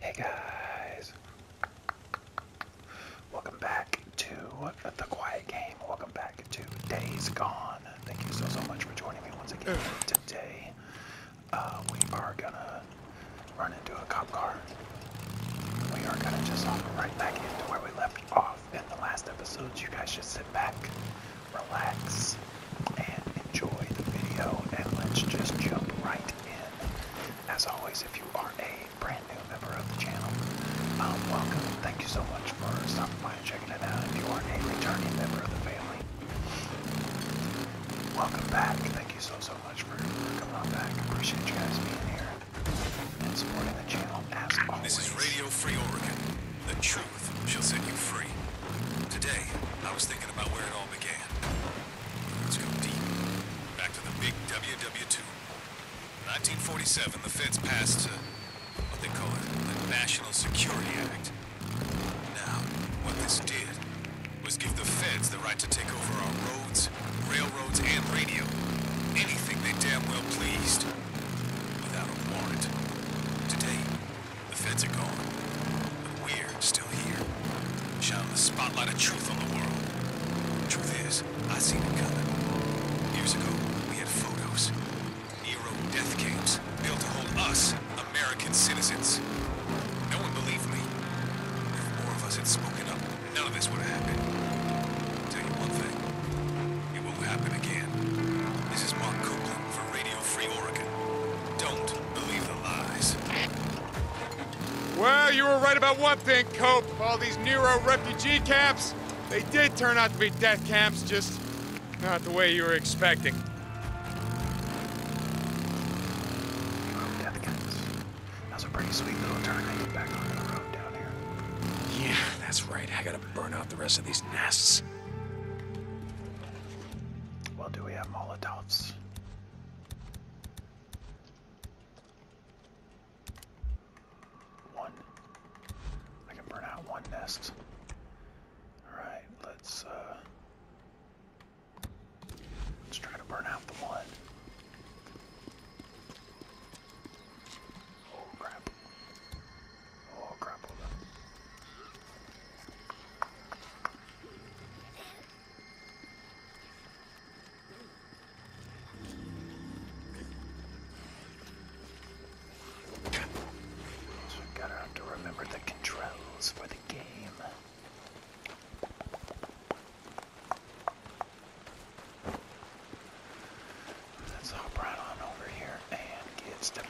Hey guys, welcome back to The Quiet Game. Welcome back to Days Gone. Thank you so, so much for joining me once again today. Uh, we are gonna run into a cop car. We are gonna just hop right back into where we left off in the last episode. You guys should sit back, relax, and enjoy the video and let's just jump right in. As always, if you are a brand new member of the channel, um, welcome. Thank you so much for stopping by and checking it out. If you are a returning member of the family, welcome back. Thank you so, so much for coming on back. Appreciate you guys being here and supporting the channel as always. This is Radio Free Oregon. The truth shall set you free. Today, I was thinking about where it all began. Let's go deep. Back to the big WW2. 1947, the feds passed what they call the National Security Act. Now, what this did was give the feds the right to take over our roads, railroads, and radio. Anything they damn well pleased. Without a warrant. Today, the feds are gone, but we're still here, shining the spotlight of truth on the world. Truth is, I seen it coming. Years ago, we had photos. Nero death camps built to hold us, American citizens. No one believed me. If more of us had spoken up, none of this would have happened. I'll tell you one thing, it won't happen again. This is Mark Copeland for Radio Free Oregon. Don't believe the lies. Well, you were right about one thing, Cope. All these Nero refugee camps, they did turn out to be death camps, just not the way you were expecting. Yeah, that's right. I gotta burn out the rest of these nests. Well, do we have Molotovs? One. I can burn out one nest. Alright, let's uh let's try to burn out the one. Oh crap. Oh crap, hold on. So we gotta have to remember the controls for the game. Let's hop right on over here and gets to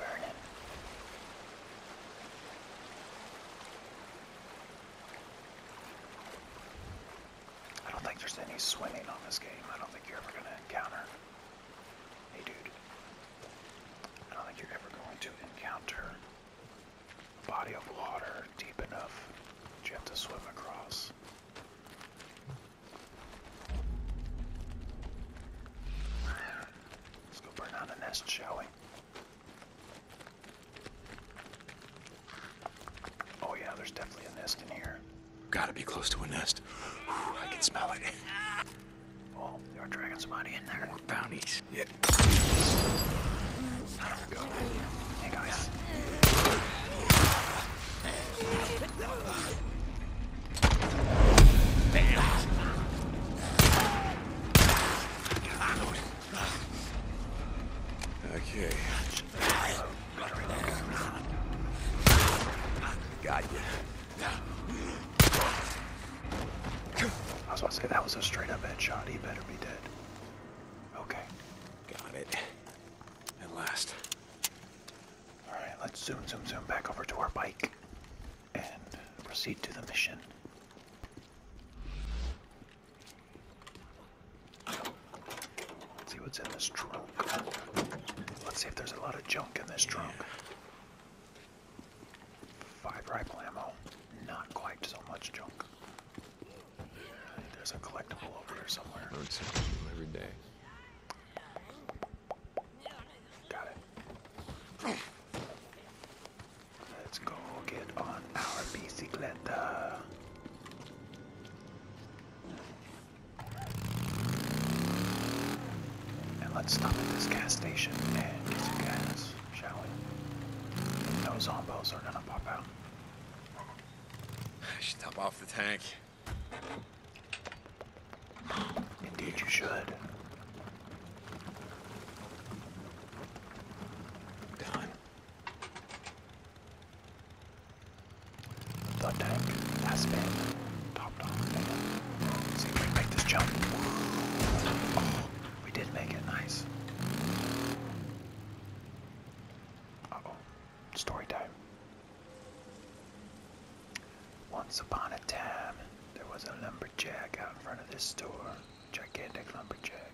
I don't think there's any swimming on this game. I don't think you're ever going to encounter. Hey, dude. I don't think you're ever going to encounter a body of water deep enough that you to swim across. Let's go burn down the nest, shall we? Oh yeah, there's definitely a nest in here. Gotta be close to a nest. Whew, I can smell it. Oh, there are dragon somebody in there. More bounties. Yeah. There we go. Hey guys. Damn. Lord. Okay. Got you. I was about to say that was a straight up headshot. He better be dead. Okay. Got it. At last. Alright, let's zoom, zoom, zoom back over to our bike and proceed to the mission. Let's see what's in this trunk. Let's see if there's a lot of junk in this trunk. Five rifle ammo. Not quite so much junk. There's a collectible over here somewhere. I would see every day. Got it. Let's go get on our bicicleta. And let's stop at this gas station and get some gas, shall we? No zombos are gonna pop out. I should top off the tank. Indeed you should. Done. The tank has been topped off. see if we make this jump. we did make it. Nice. oh Story time. Once upon a time, there was a lumberjack out in front of this store. Gigantic lumberjack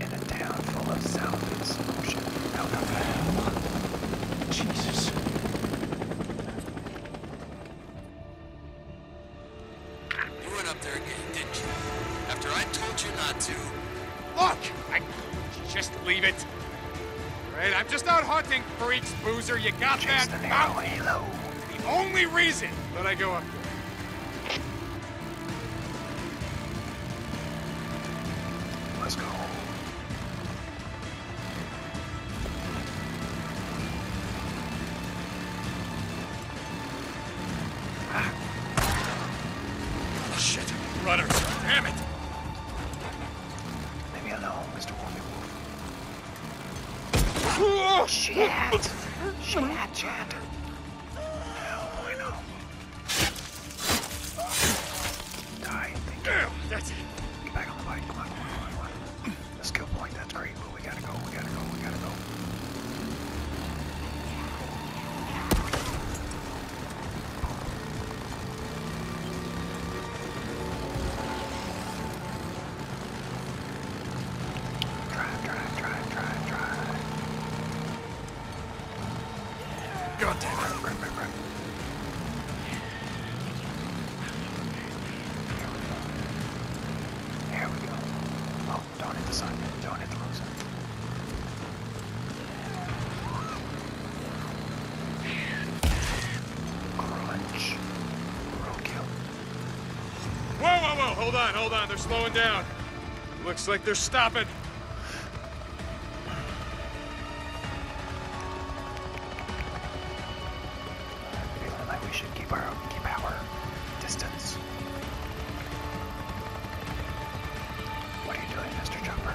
in a town full of sound and solution. How come hell? Jesus. You went up there again, didn't you? After I told you not to. Look! I... Just leave it. Right, I'm just out hunting, freaks, boozer. You got that? The, ah! narrow the only reason that I go up there. Let's go. Ah. Shit, runners, damn it! Leave me alone, Mr. Wolfie Oh, shit! shit, Chad. Die. Damn, that's it. Get back on the bike. Come on, come on, point, that's great, but we gotta go, we gotta go, we gotta go. Drive, drive, drive, drive, drive. God damn it. Right, right, right. Here we go. Here we go. Oh, don't hit the sun. Don't hit the wrong sun. Crunch. Roadkill. Whoa, whoa, whoa. Hold on, hold on. They're slowing down. Looks like they're stopping. Feeling like we should keep our keep our distance. What are you doing, Mr. Jumper?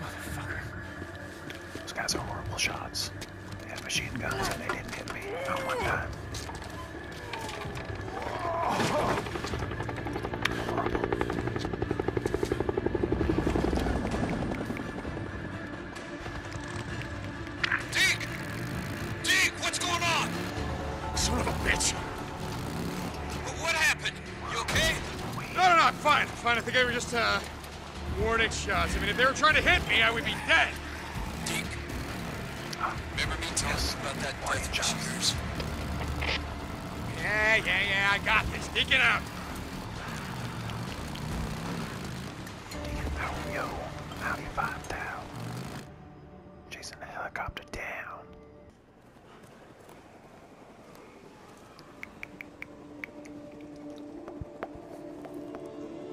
Motherfucker. Those guys are horrible shots. They had machine guns and they didn't hit me. Not one time. Son of a bitch! What happened? you okay? No, no, no, I'm fine. i fine. I think they were just, uh, warning shots. I mean, if they were trying to hit me, I would be dead. remember me telling you about that death shooters? Yeah, yeah, yeah, I got this. Deke out. Oh, yo, 95 down. Chasing the helicopter down.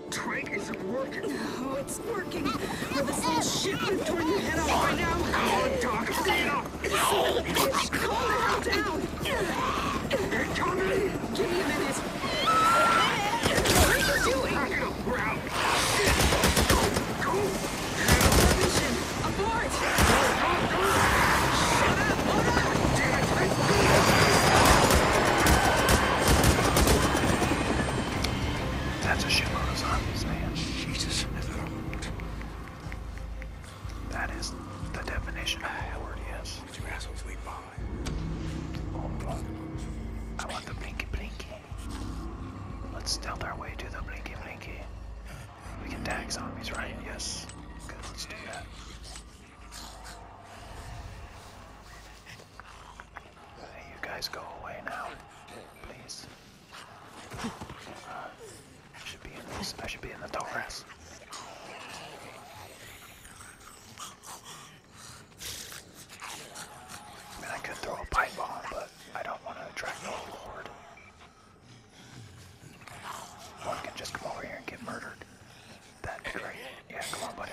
Drake isn't working. Oh, it's working. Ah, Will this little ah, shit ah, you turn your head off by now? Oh, Doc, hurry it up. Son of a bitch, calm the hell down. They're coming. Give me a minute. What are you doing? Pack it up, we're out. Shit. Go, go. That's a shitload of zombies, man. Jesus, I thought I That is the definition of yes. you assholes leave behind? Oh, I want the blinky blinky. Let's stealth our way to the blinky blinky. We can tag zombies, right? Yes. Good, let's do that. you guys go away now, please. I uh, should be in this. I should be in the tall I mean, I could throw a pipe bomb, but I don't want to attract the whole one can just come over here and get murdered. That'd be great. Yeah, come on, buddy.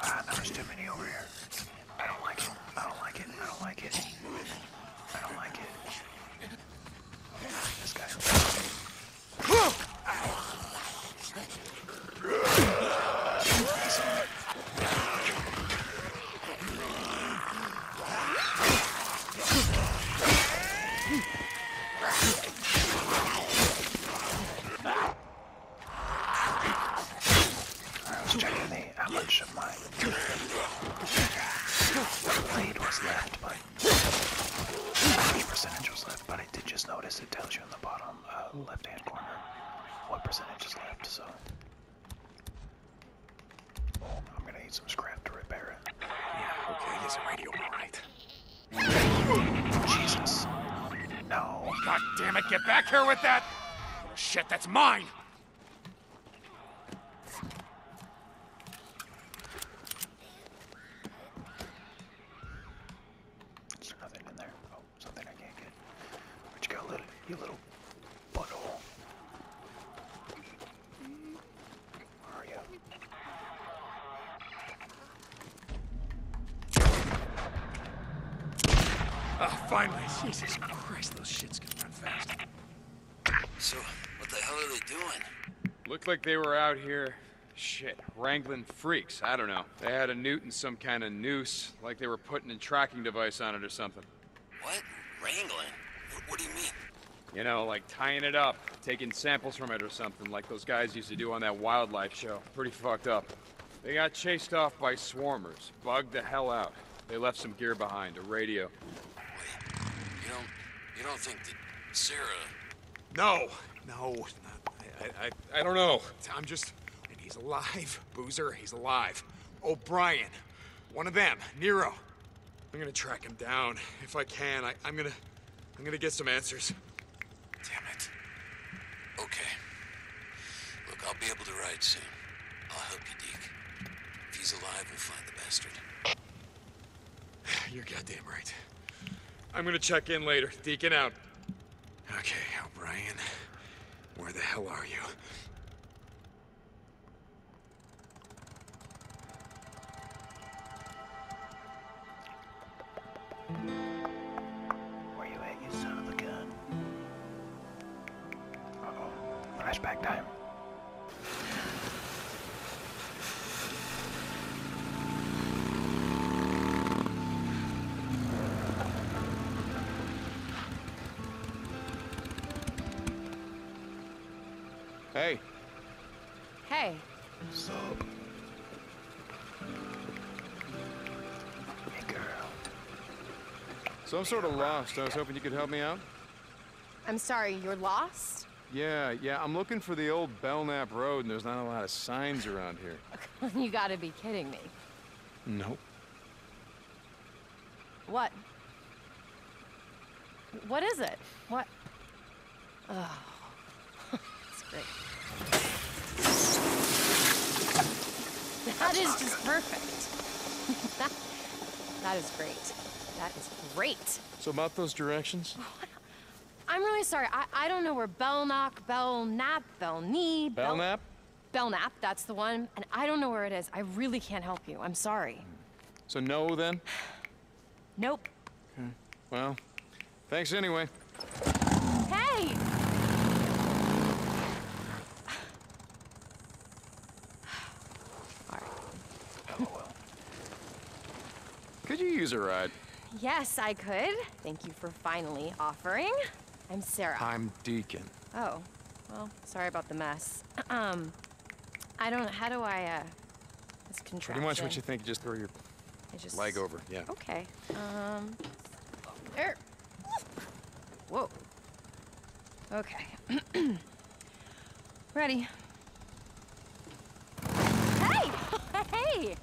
Ah, there's too many over here. I don't like it. I don't like it. I don't like it. I don't like it. This guy. Ow. Let's check in the, how much of my blade was left, but how much percentage was left, but I did just notice it tells you in the bottom. Um, uh, left-hand corner what percentage is left, so I'm gonna need some scrap to repair it. Yeah, okay, there's a radio right. Jesus. No. God damn it, get back here with that! Shit, that's mine! There's nothing in there. Oh. Something I can't little, you little butthole? Where are ah, finally! Jesus Christ, those shits can run fast. So, what the hell are they doing? Looked like they were out here, shit, wrangling freaks. I don't know. They had a Newton, some kind of noose, like they were putting a tracking device on it or something. What? Wrangling? What, do you mean? You know, like tying it up, taking samples from it or something, like those guys used to do on that wildlife show. Pretty fucked up. They got chased off by swarmers, bugged the hell out. They left some gear behind, a radio. you don't, you don't think that Sarah... No, no, I, I, I, I don't know. I'm just, and he's alive. Boozer, he's alive. O'Brien, one of them, Nero. I'm gonna track him down. If I can, I, am gonna... I'm gonna get some answers. Damn it. Okay. Look, I'll be able to ride soon. I'll help you, Deke. If he's alive, we'll find the bastard. You're goddamn right. I'm gonna check in later. Deacon out. Okay, O'Brien. Where the hell are you? Where you at, you son of a gun? oh flashback time. Hey. Hey. Sup? girl. So I'm sort of lost. I was hoping you could help me out. I'm sorry, you're lost? Yeah, yeah, I'm looking for the old Belknap Road, and there's not a lot of signs around here. you gotta be kidding me. Nope. What? What is it? What? that's just perfect. that is great. That is great. So about those directions? I'm really sorry. I, I don't know where Bell Bell Knock, Belknock, Bell Knee, Bell Belknap? Belknap, that's the one, and I don't know where it is. I really can't help you. I'm sorry. So no, then? Nope. Okay. Well, thanks anyway. Hey! All right. Oh, LOL. Could you use a ride? Yes, I could. Thank you for finally offering. I'm Sarah. I'm Deacon. Oh, well, sorry about the mess. Um, I don't, how do I, uh, this control. Pretty much what you think, just throw your leg over, yeah. Okay, um, there. Whoa. Okay. Ready. Hey! hey!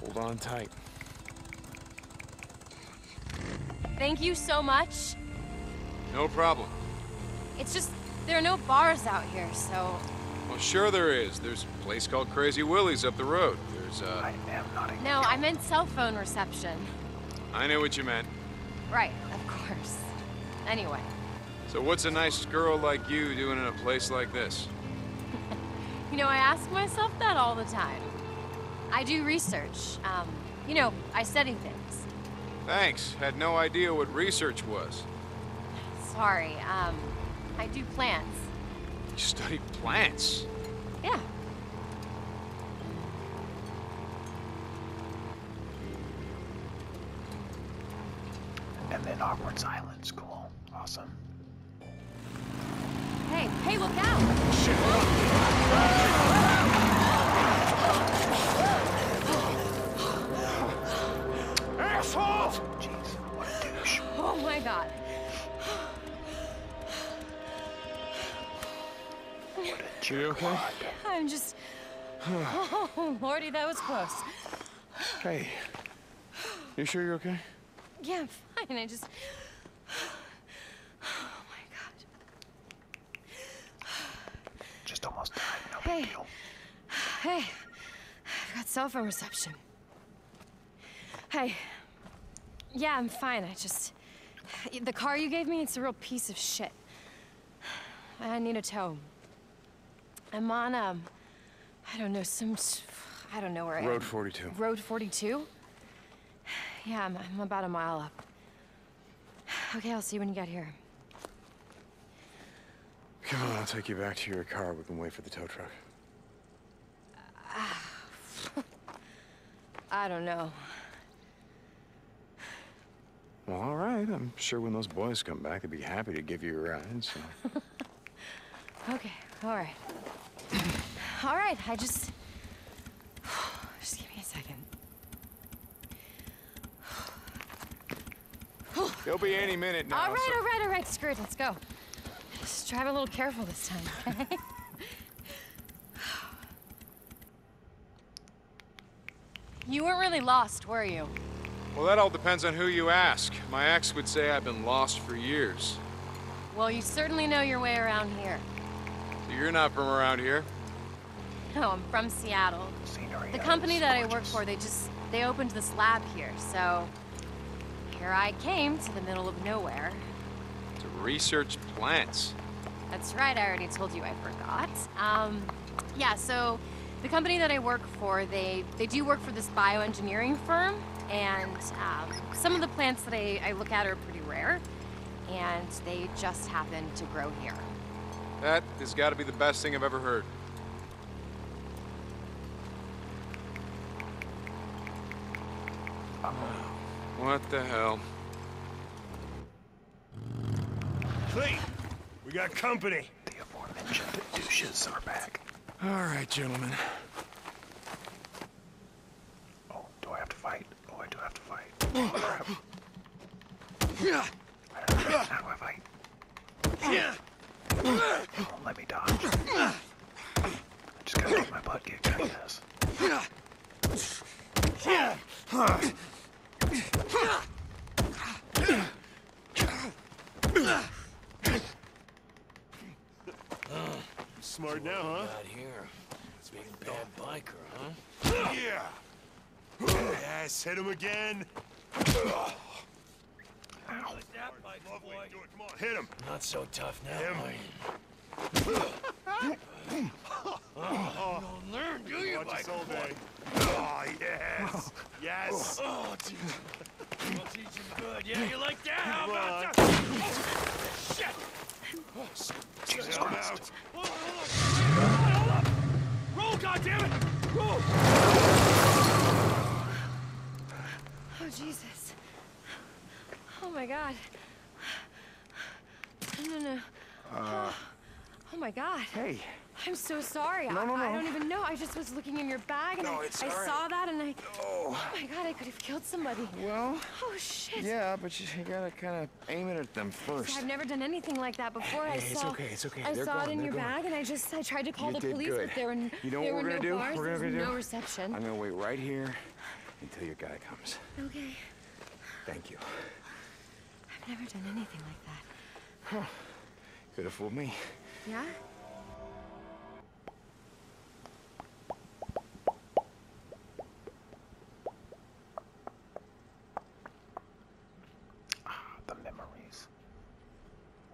Hold on tight. Thank you so much. No problem. It's just, there are no bars out here, so... Well, sure there is. There's a place called Crazy Willie's up the road. There's, uh... I am not a... No, I meant cell phone reception. I know what you meant. Right, of course. Anyway. So what's a nice girl like you doing in a place like this? you know, I ask myself that all the time. I do research. Um, you know, I study things. Thanks. Had no idea what research was. Sorry, um, I do plants. You study plants? Yeah. And then Awkward Silence. Cool. Awesome. Hey, hey, look out! Shit! Oh my god. What a jerk. You okay? I'm just... oh, lordy, that was close. Hey, you sure you're okay? Yeah, I'm fine. I just... Oh just almost died. No hey. big deal. Hey, I've got cell phone reception. Hey. Yeah, I'm fine. I just. The car you gave me, it's a real piece of shit. I need a tow. I'm on, um. I don't know, some. I don't know where Road I am. 42. Road 42? Yeah, I'm, about a mile up. Okay, I'll see you when you get here. Come on, I'll take you back to your car. We can wait for the tow truck. I don't know. Well, all right. I'm sure when those boys come back, they'd be happy to give you a ride, so... okay, all right. all right, I just... Just give me a second. There'll be any minute now. All right, all right, all right. Screw it. Let's go. Just drive a little careful this time, you weren't really lost, were you? Well, that all depends on who you ask. My ex would say I've been lost for years. Well, you certainly know your way around here. you're not from around here? No, oh, I'm from Seattle. The company that I work for, they just, they opened this lab here, so here I came to the middle of nowhere. To research plants. That's right, I already told you I forgot. Um, yeah, so the company that I work for, they, they do work for this bioengineering firm, and um, some of the plants that I, look at are pretty rare, and they just happen to grow here. That has got to be the best thing I've ever heard. What the hell? Cleve, we got company. The aforementioned douches are back. All right, gentlemen. Oh, do I have to fight? Oh, I do have to fight. Oh, crap. I How do I fight? Oh, let me die. I just gotta get my butt kicked out of this. Smart now, huh? Not here. It's a bad biker, huh? Yeah. Yes, hit him again. Ow. That, Mike, boy. Hit him. Not so tough now. Him. oh, you don't learn, do you, Watch Mike? all day. Oh, yes. Yes. Oh, dude. I'll teach him good. Yeah, you like that? How about that? Oh, shit. Oh, shit. Jesus Christ. Roll, goddammit! Roll! Oh, Jesus. Oh, my God. No, no, no. Uh, oh, my God. Hey. I'm so sorry. No, no, no. I, don't even know. I just was looking in your bag and I, saw that and I. Oh. oh. my god, I could have killed somebody. Well. Oh shit. Yeah, but you, you gotta kind of I aim it at them first? I've never done anything like that before. I saw, it in your bag, and I just I tried to call the police, but there were, there what no Bars, no reception. I'm gonna wait right here until your guy comes. Okay. Thank you. I've never done anything like that. Huh. Could have fooled me. Yeah? Ah, the memories.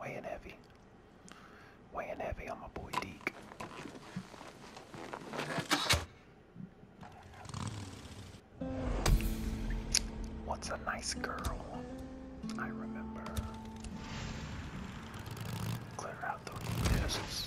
Weighing heavy. Weighing heavy on my boy Deek. What's a nice girl? I remember. Clear out those discs.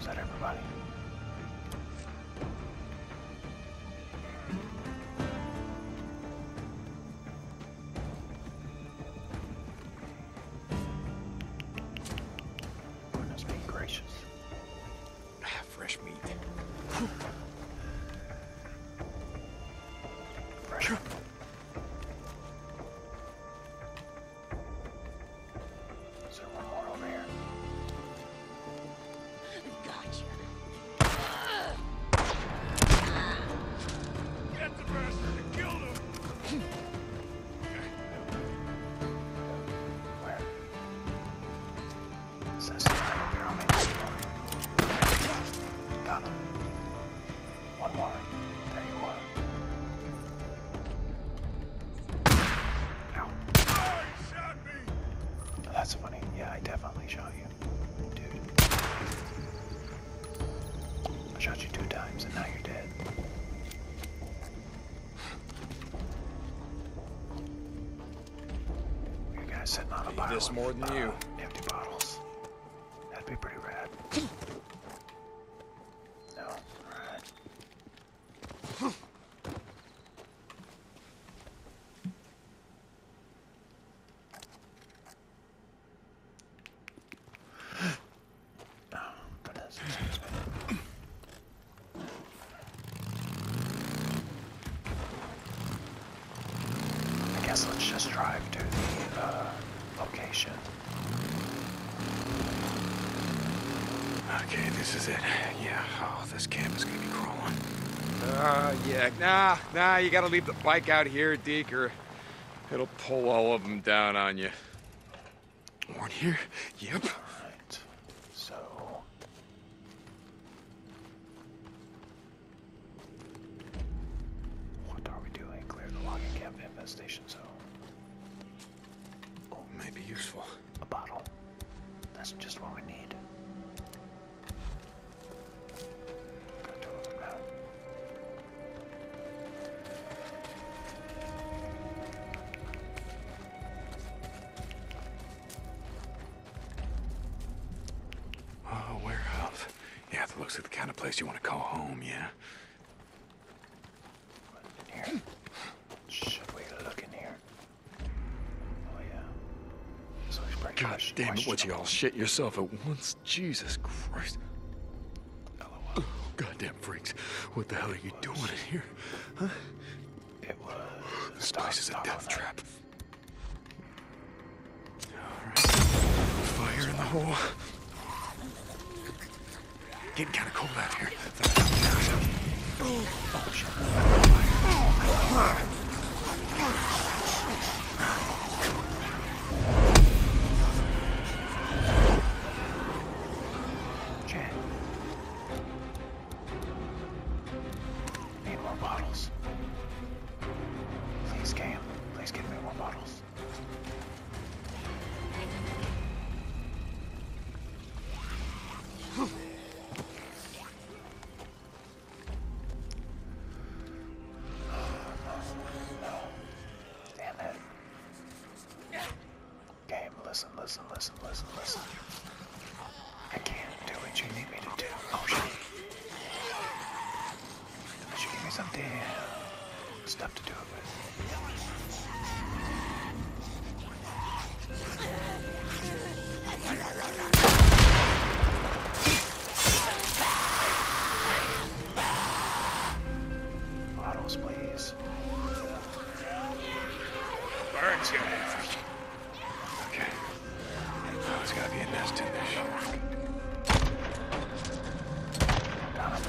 Is that everybody? Goodness me gracious. Ah, fresh meat. fresh. Is there one more over here? Gotcha. Get the bastard and him. One more. There you are that's funny. Yeah, I definitely shot you. Dude. shot you two times and now you're dead. You guys sitting on a pile this more than uh, you. empty bottles. That'd be pretty rad. No, I guess let's just drive to the uh, location. Okay, this is it. Yeah, oh, this camp is gonna be crawling. Uh, yeah, nah, nah, you gotta leave the bike out here, Deke, or it'll pull all of them down on you. One here? Yep. Right. So... What are we doing? Clear the logging camp infestation zone. Oh, may be useful. A bottle. That's just what we need. Oh, warehouse. Yeah, that looks like the kind of place you want to call home, yeah? What's in oh, God damn it! Would you all shit yourself at once? Jesus Christ! Oh, goddamn freaks! What the hell are you doing in here? This place is a death trap. Fire in the hole. Getting kind of cold out here. Chad. Need more bottles. Please, Cam. Please give me more bottles. Damn it. Game, listen, listen, listen, listen, listen. I can't do what you need me to do. Oh shit. Unless you give me some stuff to do it with. Bottles, please. Burns you. Okay. Oh, there's gotta be a nest in this shark. Got it.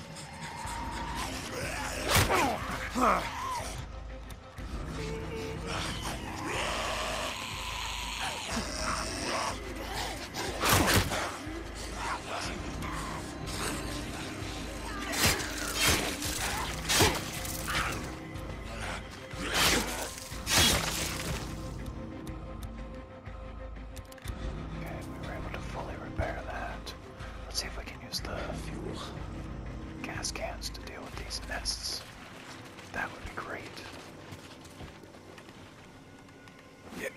Okay, we were able to fully repair that. Let's see if we can use the fuel gas cans to deal with these nests. That would be great. Yeah.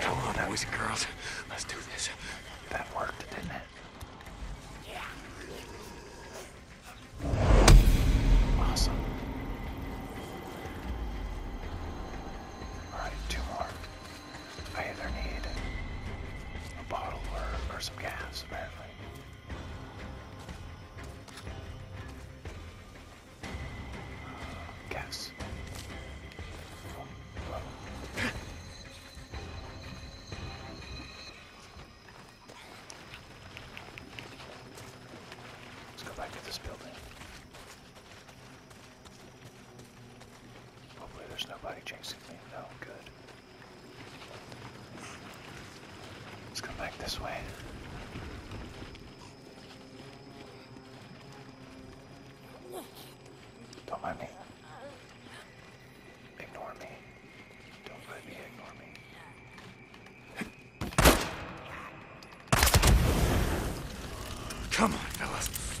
Come on, boys and girls. Let's do this. That worked, didn't it? Awesome. Alright, two more. I either need a bottle or, or some gas, apparently. gas. Let's go back to this building. Hopefully there's nobody chasing me. No, good. Let's come back this way. Don't mind me. Ignore me. Don't let me ignore me. Come on, fellas.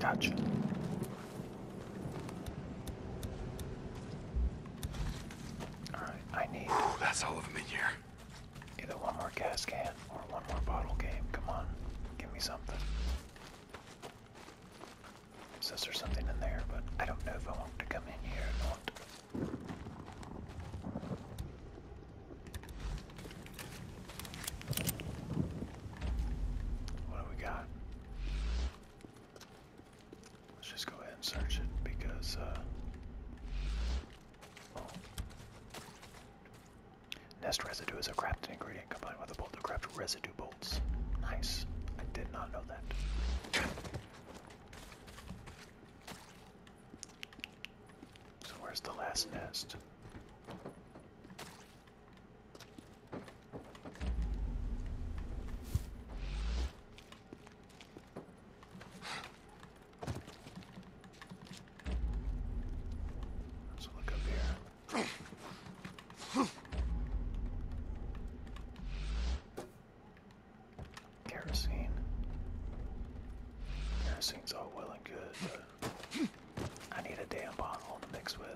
Gotcha. Alright, I need. that's all of them in here. Either one more gas can or one more bottle game. Come on, give me something. Says there's something in there, but I don't know if I want to come in here or not. What do we got? Let's just go ahead and search it because, uh, Nest residue is a crafted ingredient combined with a bolt to craft residue bolts. Nice. I did not know that. So where's the last nest? Let's look up here. Kerosene. Kerosene's all well and good, but I need a damn bottle to mix with.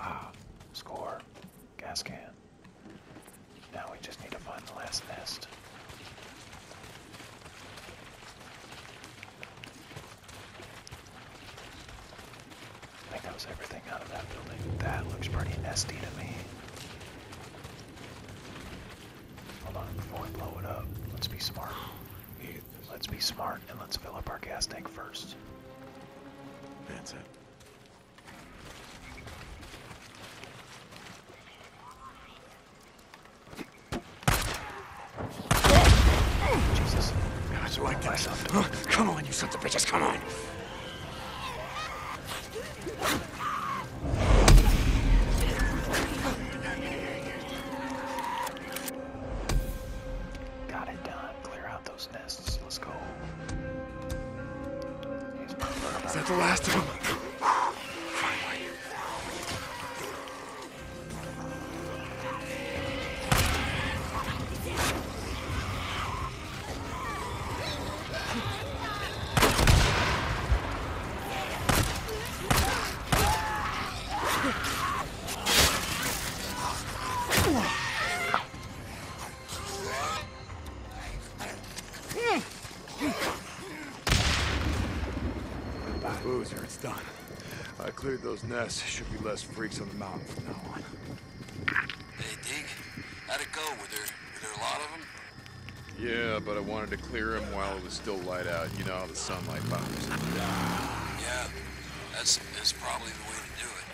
Ah, score. Gas can. Now we just need to find the last nest. I think that was everything out of that building. That looks pretty nasty to me. Hold on, before we blow it up, let's be smart. Let's be smart and let's fill up our gas tank first. That's it. Jesus. I had to right myself. come on, you sons of bitches, come on! Got it done. Clear out those nests. Let's go. Is that the last of them? Boozer, it's done. I cleared those nests. Should be less freaks on the mountain from now on. Hey, Deke. How'd it go? Were there, a lot of them? Yeah, but I wanted to clear them while it was still light out. You know how the sunlight bothers Yeah, that's, that's probably the way to do it.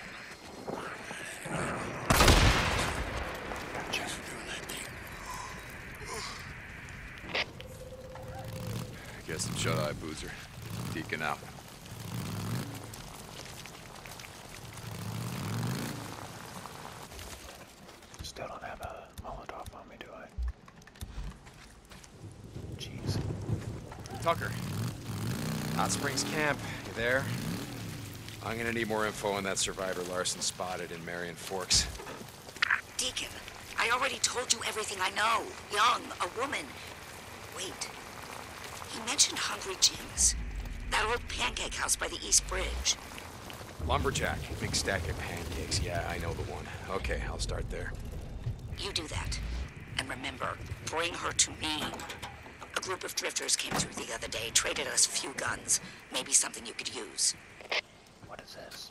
Thanks doing that, Deke. I guess some shut-eye boozer. Deacon out. Still don't have a Molotov on me, do I? Jeez. Tucker. Hot Springs Camp. You there? I'm gonna need more info on that survivor Larson spotted in Marion Forks. Deacon, I already told you everything I know. Young, a woman. Wait. He mentioned Hungry Jim's. That old pancake house by the East Bridge. Lumberjack. Big stack of pancakes. Yeah, I know the one. Okay, I'll start there. You do that. And remember, bring her to me. A group of drifters came through the other day, traded us a few guns. Maybe something you could use. What is this?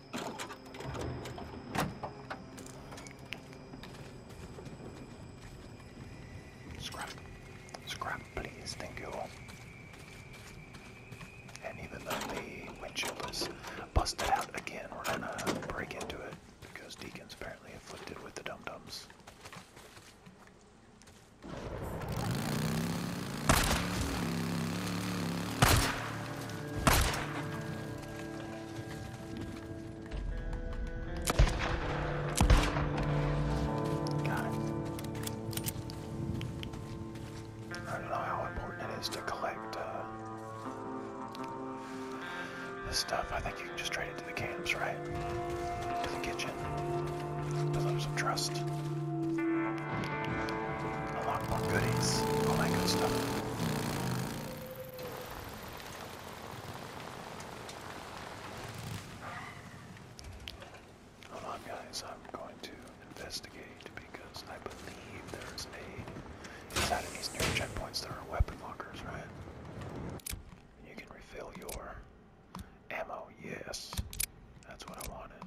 Scrap. Scrap, please. Thank you. And even though the windshield is busted out again, we're gonna break into it because Deacon's apparently afflicted with the dum-dums. Got I don't know how important it is to collect uh, this stuff. I think you can just trade it to the camps, right? To the kitchen. Build up some trust. Unlock more goodies. All that good stuff. Hold on, guys. I'm going to investigate because I believe there's a inside of these near checkpoints there are weapon lockers, right? You can refill your ammo. Yes, that's what I wanted.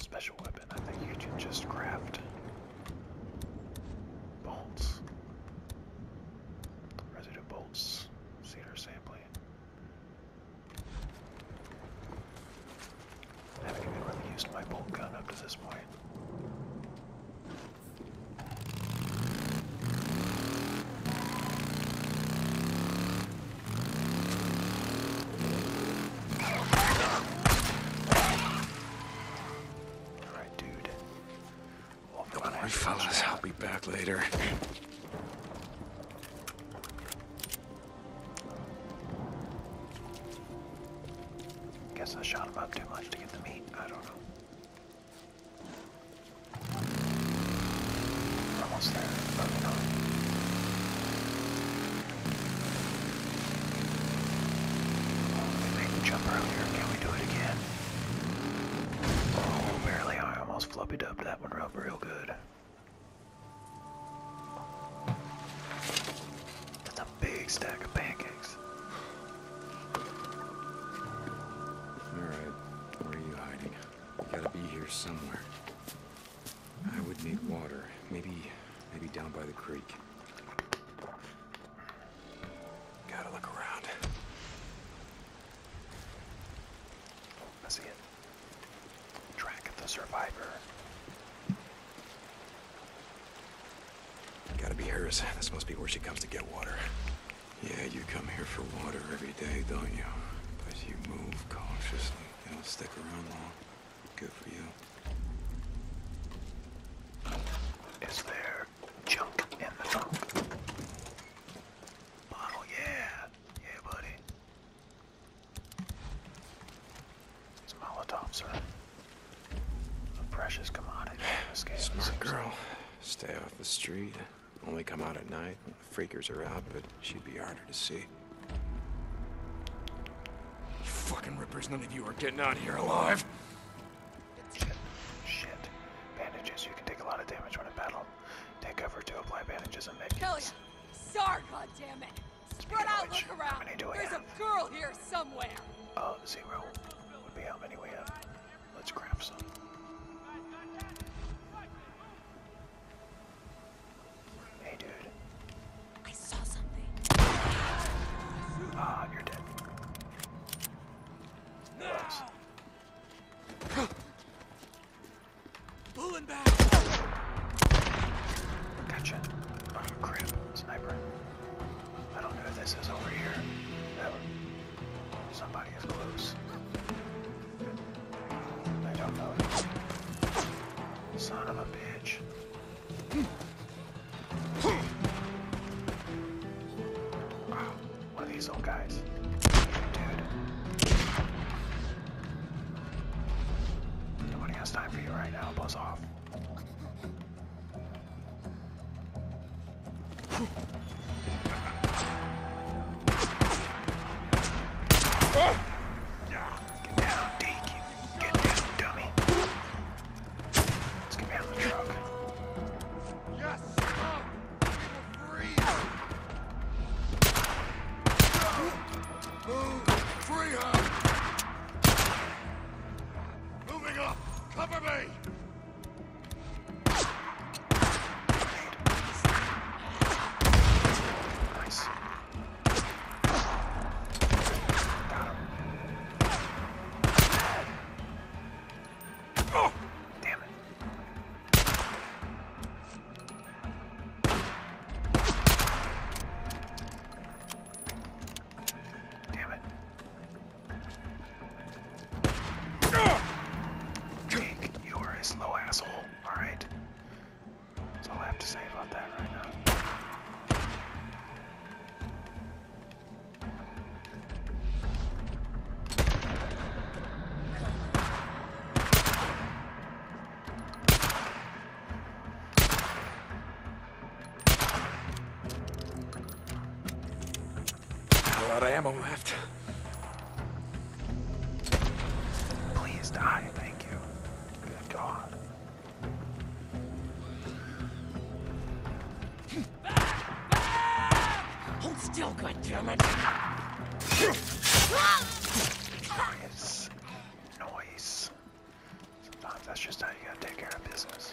Special special weapon. I think you can just craft bolts. Residue bolts. Cedar sampling. haven't even really used my bolt gun up to this point. All right, dude. we Come on, fellas. I'll be back later. Guess I shot him up too much to get the meat. I don't know. almost there. Probably not. We made the jump earlier. Can we do it again? Oh, barely. I almost flubby dubbed that one up real good. That's a big stack of pancakes. Alright, where are you hiding? You gotta be here somewhere. I would need water. Maybe, maybe down by the creek. Gotta look around. I see it. Track of the survivor. Gotta be hers. This must be where she comes to get water. Yeah, you come here for water every day, don't you? But you move cautiously. You don't stick around long. Good for you. Is there junk in the trunk? Bottle, yeah. Yeah, buddy. These Molotovs are a precious commodity. Smart girl. Stay off the street. Only come out at night freakers are out, but she'd be harder to see. You fucking rippers, none of you are getting out of here alive. Shit. Bandages. You can take a lot of damage when in battle. Take cover to apply bandages and make. Kelly! damn it. Spread out, look around! There's a girl here somewhere! Uh, zero would be how many we have. Let's grab some. Hey, dude. Ah, you're dead. Pulling back. Gotcha. Oh I don't know if this is over here. Somebody is close. Son of a bitch. Wow, one of these old guys. Dude. Nobody has time for you right now, buzz off. Get down, Deke. Get down, dummy. Let's get out of the truck. Yes! Move! Move! Free her! Moving up! Cover me! Got him. Oh, damn it. Damn it. Jake, you are a slow asshole, alright? That's all I have to say about that right now. I am ammo left. Please die, thank you. Good God. Hold still, goddammit! Noise. Noise. Sometimes that's just how you gotta take care of business.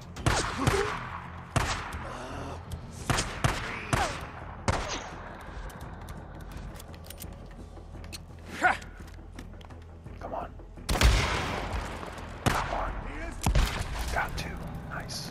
Come on. Come on. Got two. Nice.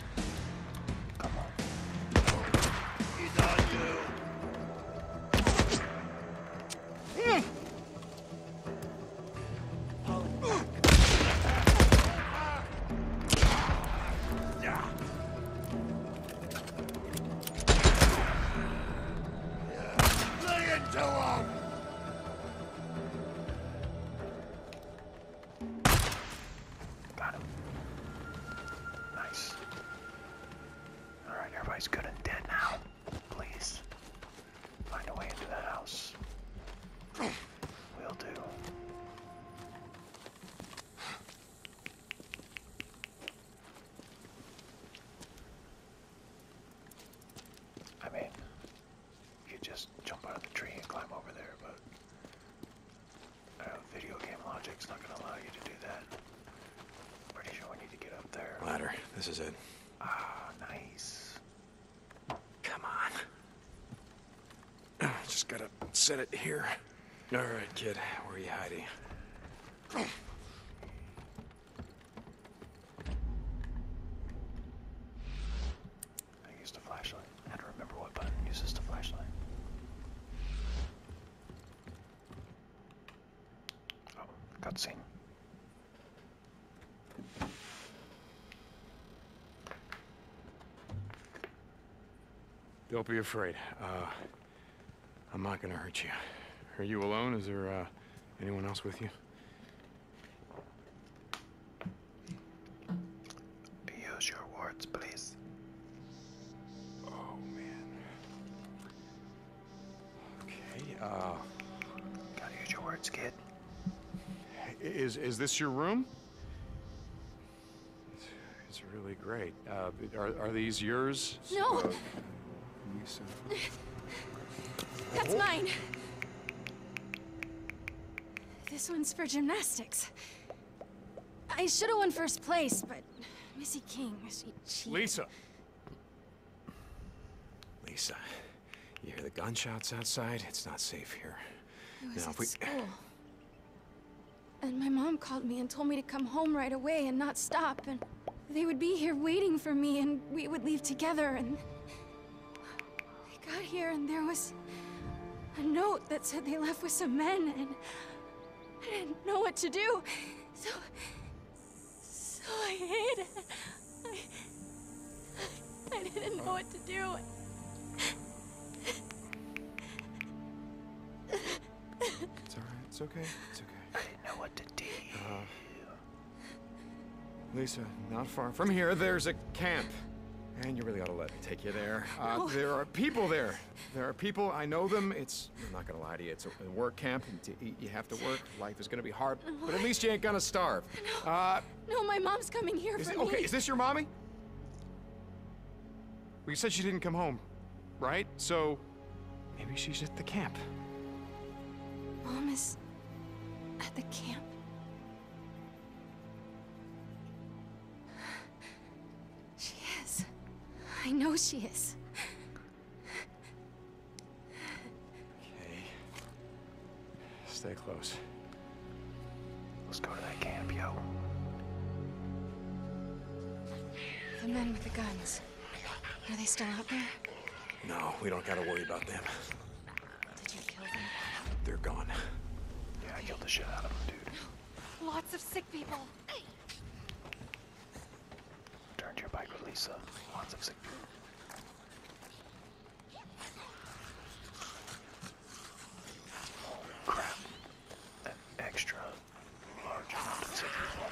Come on. He's on you. Mm. Lay into him! Got him. Nice. Alright, everybody's good and dead now. Please. Find a way into that house. Will do. I mean, you could just jump out of the tree and climb over there, but uh, video game logic's not going to allow you to do that. Pretty sure we need to get up there. Ladder. This is it. Ah, nice. Come on. Just gotta set it here. All right, kid. Where are you hiding? I used a flashlight. I had to remember what button uses the flashlight. Oh, cutscene. Don't be afraid. Uh, I'm not gonna hurt you. Are you alone? Is there uh, anyone else with you? Use your words, please. Oh man. Okay. Uh. Gotta use your words, kid. Is is this your room? It's, it's really great. Uh, are are these yours? No. Uh, That's mine. This one's for gymnastics. I should have won first place, but Missy King, she Lisa! Lisa, you hear the gunshots outside? It's not safe here. It was now, school. And my mom called me and told me to come home right away and not stop, and they would be here waiting for me, and we would leave together, and... I got here, and there was a note that said they left with some men, and I didn't know what to do. So... So I hid. I... I didn't know what to do. It's alright. It's okay. It's okay. I didn't know what to do. Uh, Lisa, not far from here, there's a camp. And you really ought to let me take you there. Uh, there are people there. There are people, I know them. It's, I'm not gonna lie to you, it's a work camp. And to eat, you have to work. Life is gonna be hard, but at least you ain't gonna starve. No, uh, my mom's coming here for me. Okay, is this your mommy? We said she didn't come home, right? So, maybe she's at the camp. Mom is at the camp. She is. I know she is. Okay. Stay close. Let's go to that camp, yo. The men with the guns. Are they still out there? No, we don't gotta worry about them. Did you kill them? They're gone. Yeah, I killed the shit out of them, dude. Lots of sick people. Turn to your bike with Lisa. Lots of sick people. Oh crap. An extra large amount of sick people.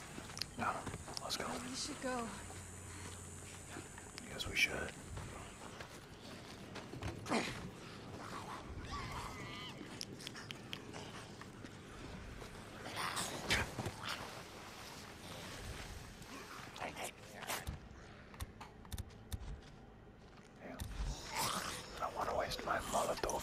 No, let's go. We should go. Yes, we should. Yeah. I don't want to waste my Molotov.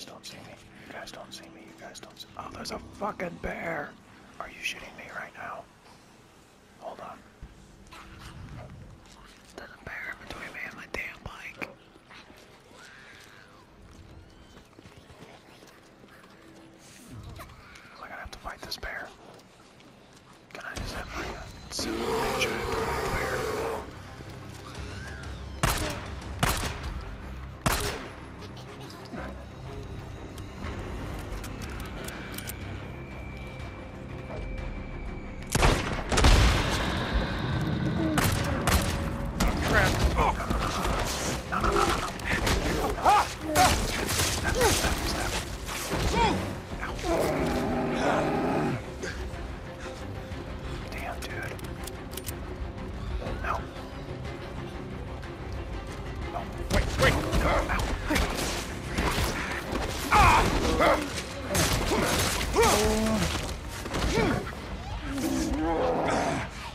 You guys don't see me. You guys don't see me. You guys don't Oh, there's a fucking bear! Are you shooting me right now? Hold on. There's a bear between me and my damn bike. I'm gonna have to fight this bear. Can I just have like a simple picture bear? Oh crap! Oh. No, no, no, no, no. Snap, snap, snap. Ow. Damn, dude. No. No. Wait, wait. Ow. Ah!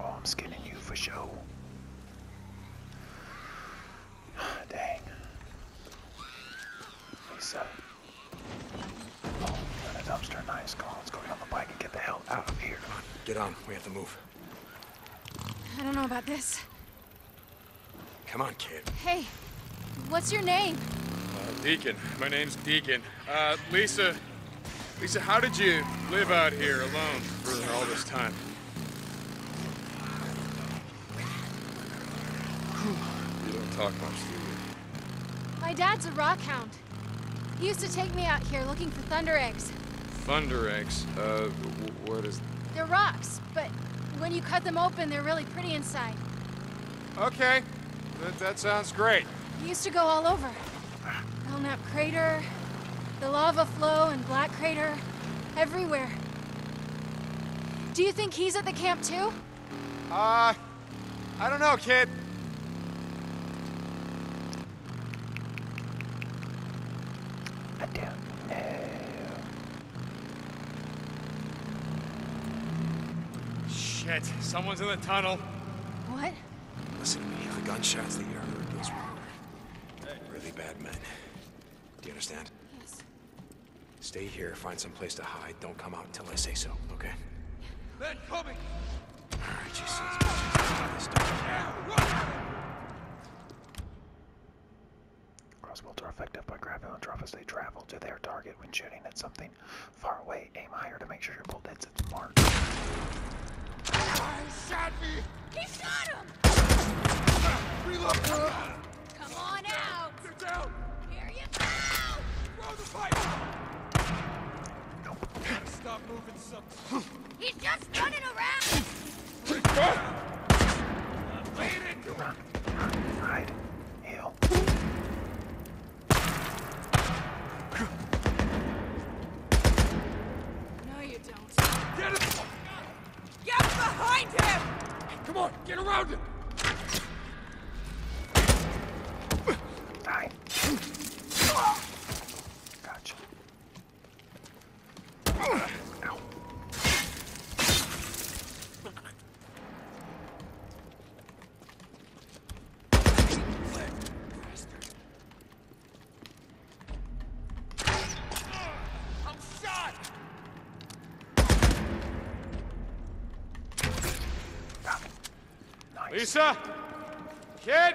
Oh, I'm skinning you for sure. Dang. Lisa. Oh, in a dumpster. Nice call. Let's get on the bike and get the hell out of here. Get on. We have to move. I don't know about this. Come on, kid. Hey, what's your name? Uh, Deacon. My name's Deacon. Uh, Lisa, Lisa, how did you live out here alone for all this time? You don't talk much, do you? My dad's a rock hound. He used to take me out here looking for thunder eggs. Thunder eggs? Uh, what is... They're rocks, but when you cut them open, they're really pretty inside. Okay. That, that sounds great. He used to go all over. Belknap Crater, the lava flow and Black Crater, everywhere. Do you think he's at the camp too? Uh, I don't know, kid. I do Shit, someone's in the tunnel. What? Listen to me, the gunshots that you heard, those were Really bad men. Do you understand? Yes. Stay here, find some place to hide. Don't come out until I say so, okay? Men coming! Alright, are effective by grabbing on drop as they travel to their target when shooting at something far away. Aim higher to make sure you're that's marked. He shot me! He shot him! Reload! Come on out! They're down! Here you go! Throw the pipe! Nope. Stop moving something. He's just running around! Lead into him! Hide. Heal. No, you don't. Get him! Get behind him! Come on, get around him! Die. Gotcha. Ow. Lisa? Kid?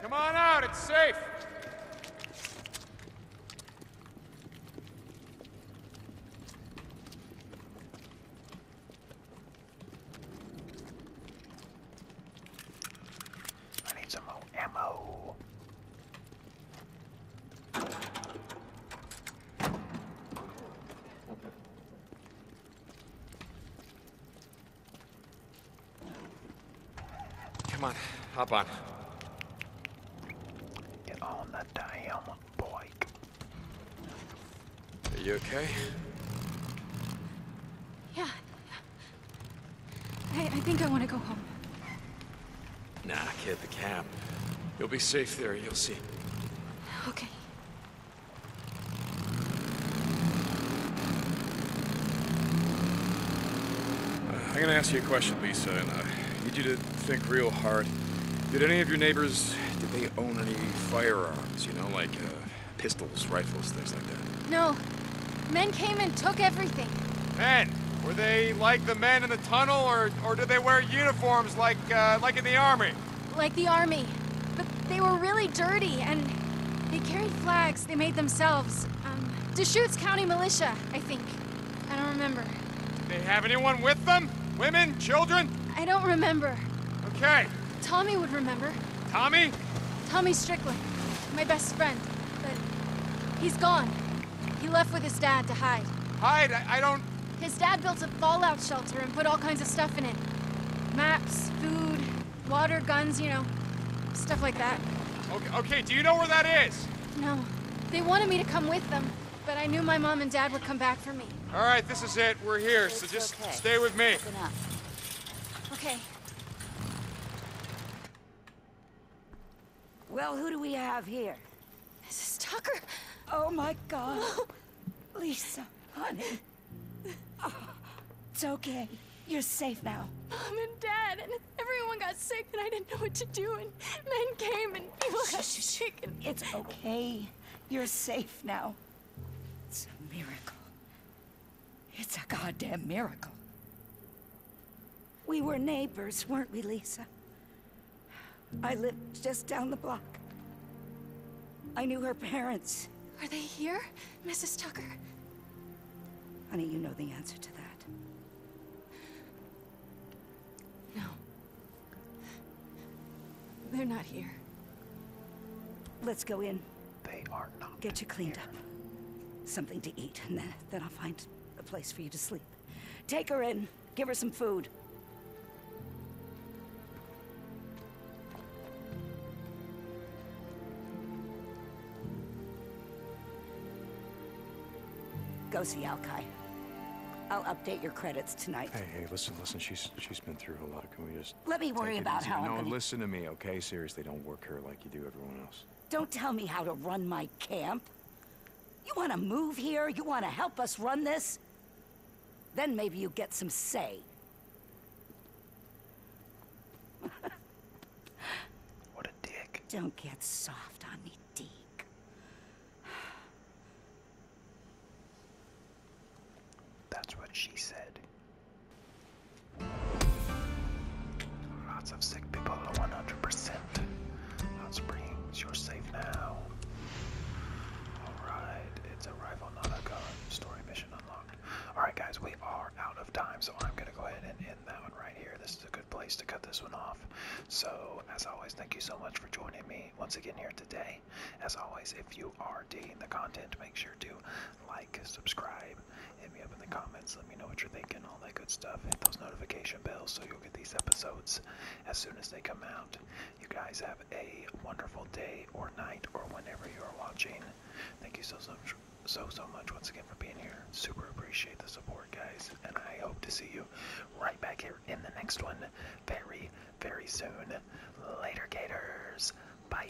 Come on out, it's safe. I need some more ammo. Come on, hop on. Get on the damn bike. Are you okay? Yeah, I, I think I want to go home. Nah, kid, the camp. You'll be safe there, you'll see. Okay. Uh, I'm gonna ask you a question, Lisa, and I uh, need you to think real hard. Did any of your neighbors, did they own any firearms, you know, like uh, pistols? rifles, things like that. No. Men came and took everything. Men? Were they like the men in the tunnel, or, or did they wear uniforms like, uh, like in the army? Like the army. But they were really dirty, and they carried flags they made themselves. Um, Deschutes County Militia, I think. I don't remember. they have anyone with them? Women? Children? I don't remember. Okay. Tommy would remember. Tommy? Tommy Strickland. My best friend. But he's gone. He left with his dad to hide. Hide? I, don't... His dad built a fallout shelter and put all kinds of stuff in it. Maps, food, water, guns, you know. Stuff like that. Okay, okay, do you know where that is? No. They wanted me to come with them, but I knew my mom and dad would come back for me. All right, this is it. We're here, so just stay with me. Okay. Well, who do we have here? Mrs. Tucker. Oh, my God. Lisa, honey. it's okay. You're safe now. Mom and Dad and everyone got sick and I didn't know what to do and men came and people got sick and... It's okay. You're safe now. It's a miracle. It's a goddamn miracle. We were neighbors, weren't we, Lisa? I lived just down the block. I knew her parents. Are they here, Mrs. Tucker? Honey, you know the answer to that. No. They're not here. Let's go in. Get you cleaned up. Something to eat, and then, then I'll find a place for you to sleep. Take her in. Give her some food. Go see Alki. I'll update your credits tonight. Hey, hey, listen, listen. She's she's been through a lot. Can we just let me worry about how? No, listen to me, okay? Seriously, don't work her like you do everyone else. Don't tell me how to run my camp. You want to move here? You want to help us run this? Then maybe you get some say. what a dick. Don't get soft on me, Dick. That's what she said. Lots of sick people, 100%. Hot Springs, you're safe now. Alright, it's a rifle, not Story mission unlocked. Alright, guys, we are out of time, so I'm going to go ahead and end that one right here. This is a good place to cut this one off. So, as always, thank you so much for joining me once again here today. As always, if you are digging the content, make sure to like, subscribe, Hit me up in the comments. Let me know what you're thinking, all that good stuff. Hit those notification bells so you'll get these episodes as soon as they come out. You guys have a wonderful day or night or whenever you are watching. Thank you so, so, so, so much once again for being here. Super appreciate the support, guys. And I hope to see you right back here in the next one very, very soon. Later, Gators. Bye.